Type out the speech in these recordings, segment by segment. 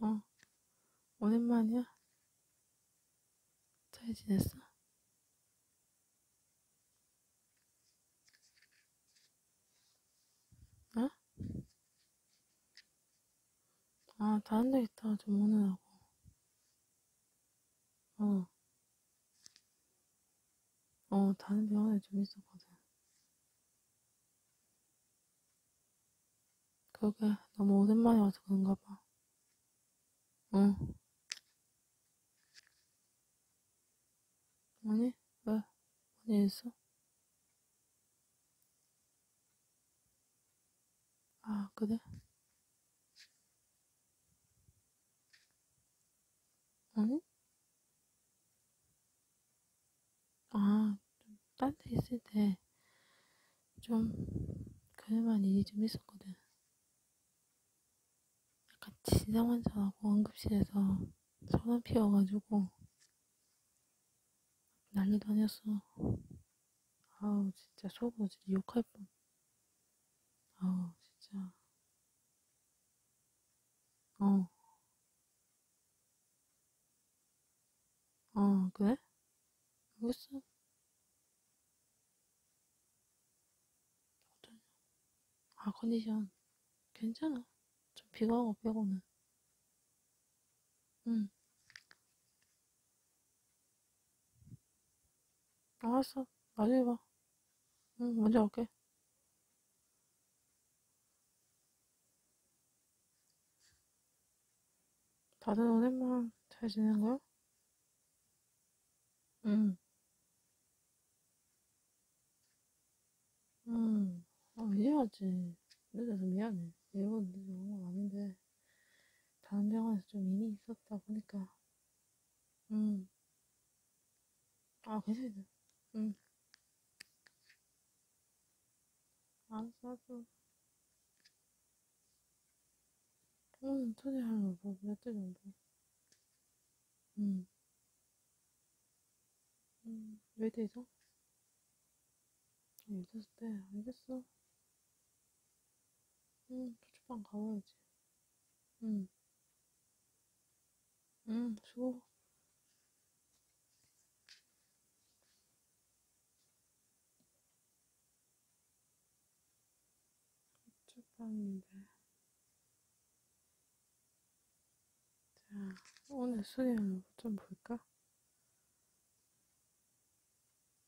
어, 오랜만이야? 잘 지냈어? 어? 아, 다른 데 있다가 좀 오느라고. 어. 어, 다른 병원에 좀 있었거든. 그러게, 너무 오랜만에 와서 그런가 봐. 응. 아니, 왜? 어디 있어? 아, 그래? 응? 아, 딴데 있을 때좀 그럴만 일이 좀 있었거든. 약간 지상 환자하고 응급실에서 소란 피워가지고 난리도 아니었어. 아우 진짜 속으로 진짜 욕할 뻔. 아우, 진짜. 어. 어, 그래? 알겠어. 뭐 어떠냐? 아, 컨디션. 괜찮아. 좀 비가 오고 빼고는. 응. 알았어. 나중에 봐. 응, 먼저 갈게. 다들 오랜만 잘 지낸 거야? 응. 응. 아, 이제 왔지. 늦어서 미안해. 일본 늦은 건 아닌데. 다른 병원에서 좀 일이 있었다 보니까 음. 아 괜찮아 음. 알았어 알았어 오늘 초대하려고 뭐, 몇대 정도 음. 음, 왜 되죠? 있었을 때 알겠어. 응, 초초방 가봐야지. 응. 응, 수고. 초초방인데. 자, 오늘 수련을 좀 볼까?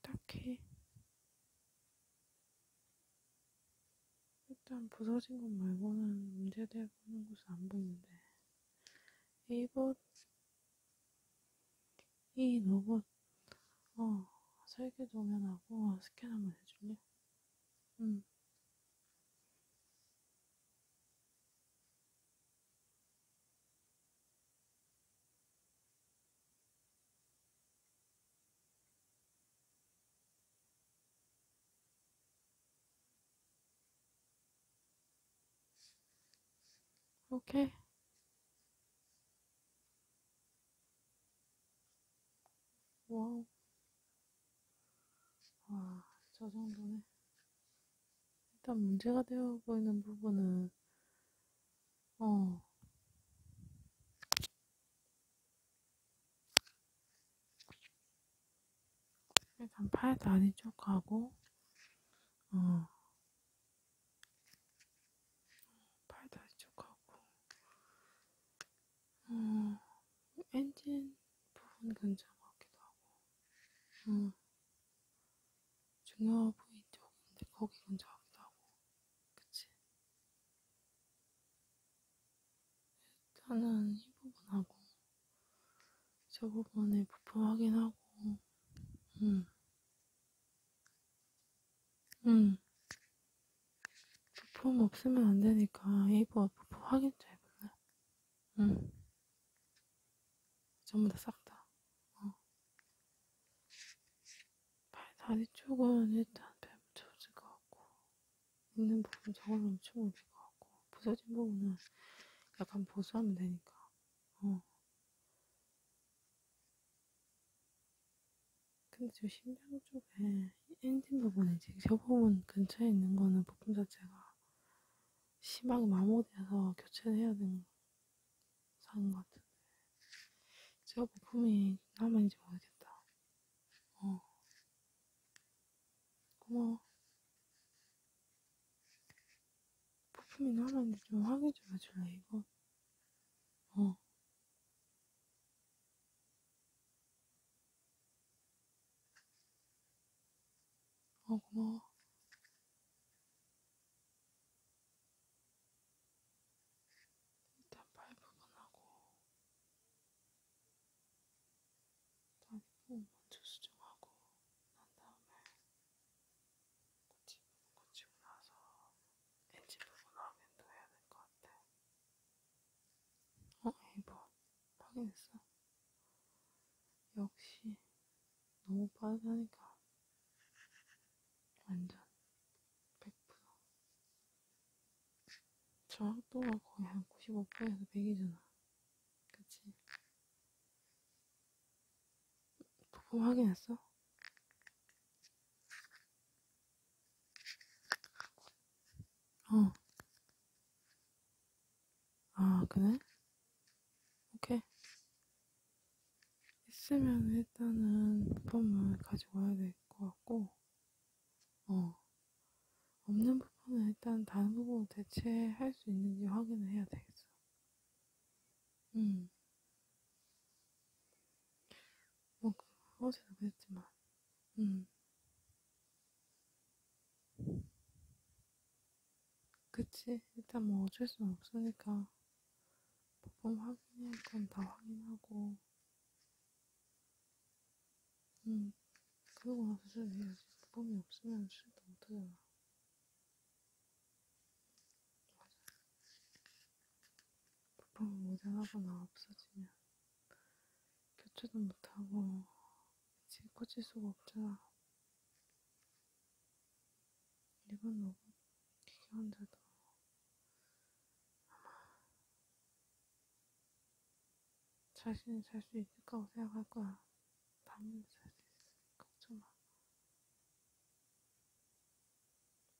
딱히 일단 부서진 것 말고는 문제되고 있는 곳은 안 보이는데 이것 이 로봇 어 설계 도면하고 스캔 한번 해줄래? 응. 오케이. 와우. 와, 저 정도네. 일단 문제가 되어 보이는 부분은 어. 일단 팔 다리 쭉 가고, 어. 팔 다리 쭉 가고, 어. 엔진 부분 괜찮은 것 같기도 하고, 어. 중요한 포인트가 있는데 거기 근처하기도 하고 그치? 일단은 이 부분하고 저 부분에 부품 확인하고 음. 음. 부품 없으면 안 되니까 이거 부품 확인 좀 해볼래? 응. 음. 전부 다 싹 다. 어. 발 다리 쪽은 일단 배부터 오질 것 같고 있는 부분 저건 엄청 오질 것 같고 부서진 부분은 약간 보수하면 되니까 어. 근데 저 심장 쪽에 엔진 부분에 지금 저 부분 근처에 있는 거는 부품 자체가 심하게 마모돼서 교체를 해야 되는 사온 것 같은데 제가 부품이 남았는지 모르겠다 어 고마워 부품이 남았는지 좀 확인 좀 해줄래 이거 어 어, 고마워. 일단 팔 부분하고 다리 부분 먼저 수정하고 난 다음에 고치 부분 고치고 나서 엔지 부분 확인도 해야 될 것 같아. 어? 이번 확인했어? 역시 너무 빠르다니까 완전 100% 저학도가 거의 한 95%에서 100이잖아 그치? 부품 확인했어? 어. 아, 그래? 오케이. 있으면 일단은 부품을 가지고 와야 될 것 같고, 어. 없는 부분은 일단 다른 부분으로 대체할 수 있는지 확인을 해야 되겠어. 음. 뭐, 어제도 그랬지만, 음. 그치 일단 뭐 어쩔 수는 없으니까 법범 확인할 건 다 확인하고 응 음, 그러고 나서 수술해야지 법범이 없으면 수술도 못하잖아 맞아 법범이 모자라거나 없어지면 교체도 못하고 그치 고칠 수가 없잖아 1번, 5번 기간제도 아마 자신이 잘수 있을 거라고 생각할 거야. 당연히 잘수 있으니 걱정 마.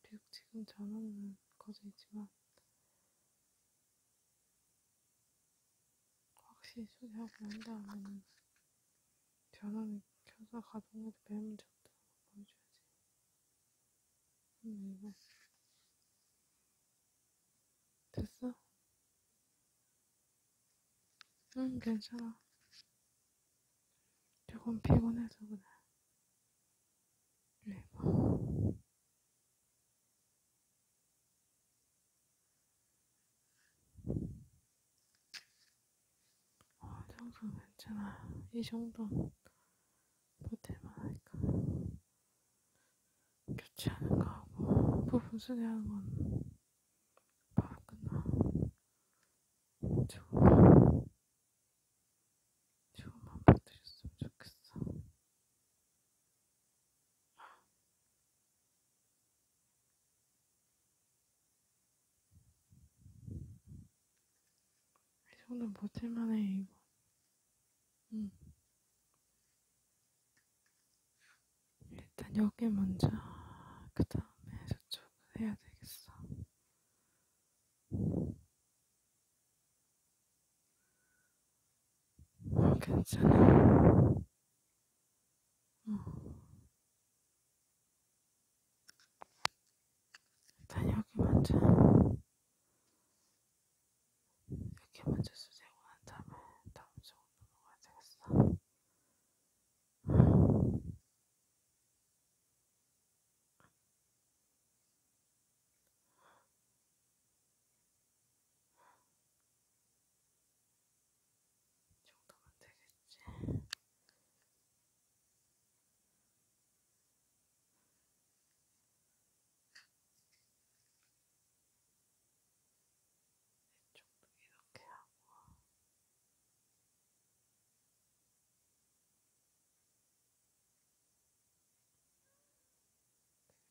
비록 지금 전화는 거져 있지만 확실히 소리하고 난 다음에는 전원을 켜서 가동해도 별 문제 없다는 거 보여줘야지. 음, 이거. 됐어? 응, 괜찮아. 조금 피곤해서 그래. 레버. 네, 뭐. 어, 이 정도는 괜찮아. 이 정도는 보태만 하니까. 교체하는 거하고 부분 수리하는 건 바로 끝나. 조금만, 조금만 버텨줬으면 좋겠어. 이 정도는 버틸만해 이거. 응. 일단 여기 먼저 그 다음에 저쪽은 해야 되겠어. 괜찮아. 일단 여기 먼저 이렇게 먼저 수제고 난 다음에 다음 쪽으로 넘어가야 되겠어. 정도면 되겠지. 이쪽도 이렇게 하고. 그리고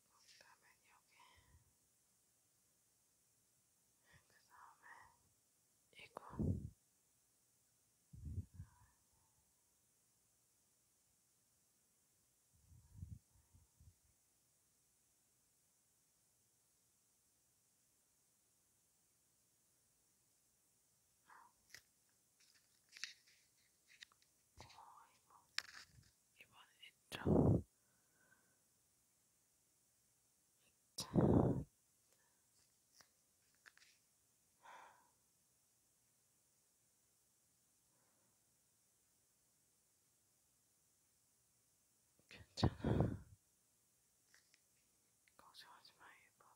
그다음에 여기 그 다음에 이거 어, 이번, 이번에 있죠? 괜찮아. 걱정하지 마, 1번.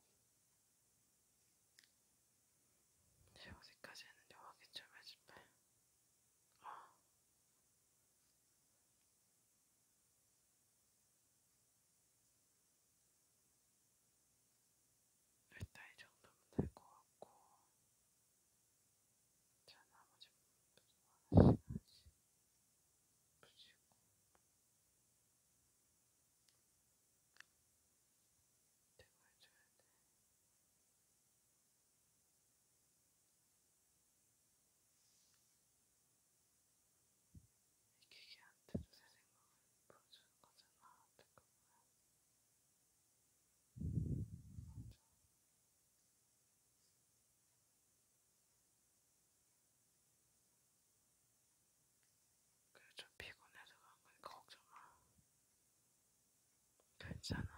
제 어디까지 했는데 확인 좀 해줄래? 일단 이 정도면 될 것 같고, 자, 나머지 부분은 하나씩 붙이고. 대고 해줘야 돼. 기계한테도 새 생각을 보여주는 거잖아. 어떻게 보면. 맞아. 그래, 좀 피곤해서 그런 거니까 걱정 마. 괜찮아.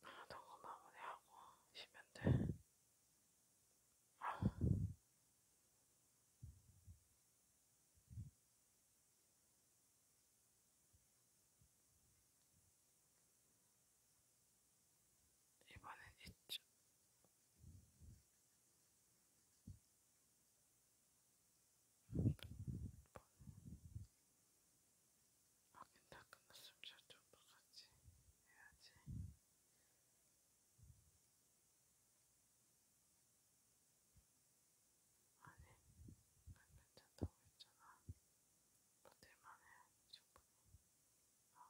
하던 아, 거 마무리하고 쉬면 돼. 아. 이번엔 이쪽. 확인 다 끝났으면 저쪽도 같이 해야지. 아니, 난 괜찮다고 했잖아. 버틸만 해, 충분히. 어.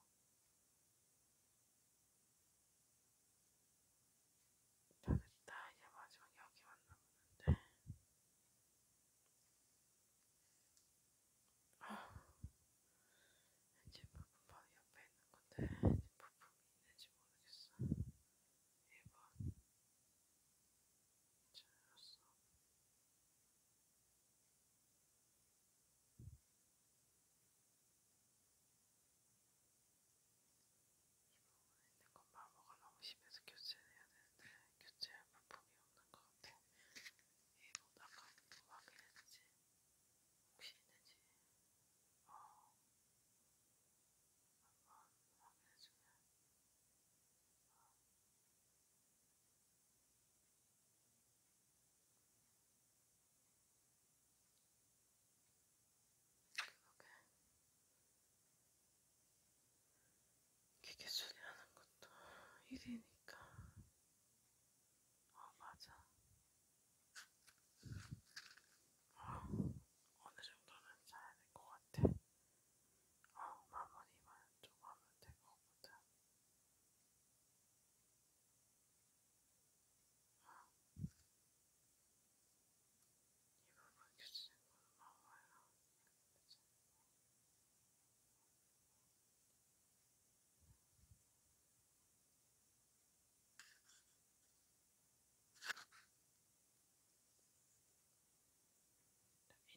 다 됐다. 이제 마지막 여기만 남았는데. 아, 제품은 바로 옆에 있는 건데 제품이 있는지 모르겠어. 1번 예, 잘렸어. 부분에 건바보가 너무 심해서 교체를 해야 되는데 교체할 부품이 없는 것 같아. 이거 아까 뭐 확인했지? 혹시 있는지? 어, 한번 확인해주면. 어. 그렇게 기계 처리하는 것도 일이니까. 어, 맞아. 어, 어느 정도는 잘야 될 것 같아. 어, 마무리만 좀 하면 될 것 같아. 어. 이 부분 주시는 거 고마워요.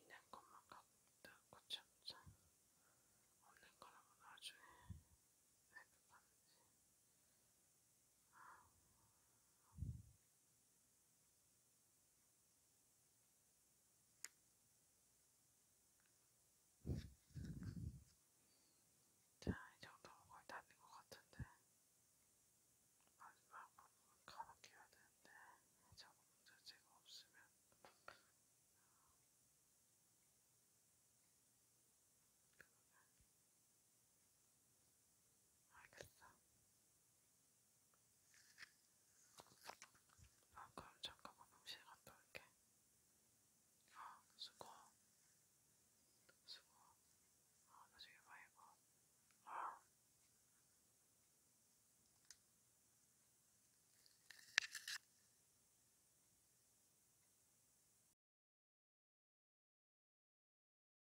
있는 것만 갖고 참자 없는 거라면 나중에 생각하는지 아, 자, 이 정도면 거의 다 된 것 같은데 마지막 부분 가볍게 해야 되는데 자꾸 문제가 없으면 그러면 알겠어. 아, 그럼 잠깐만 음식 갔다 올게. 아, 수고. 수고. 아, 나중에 봐, 이거. 아.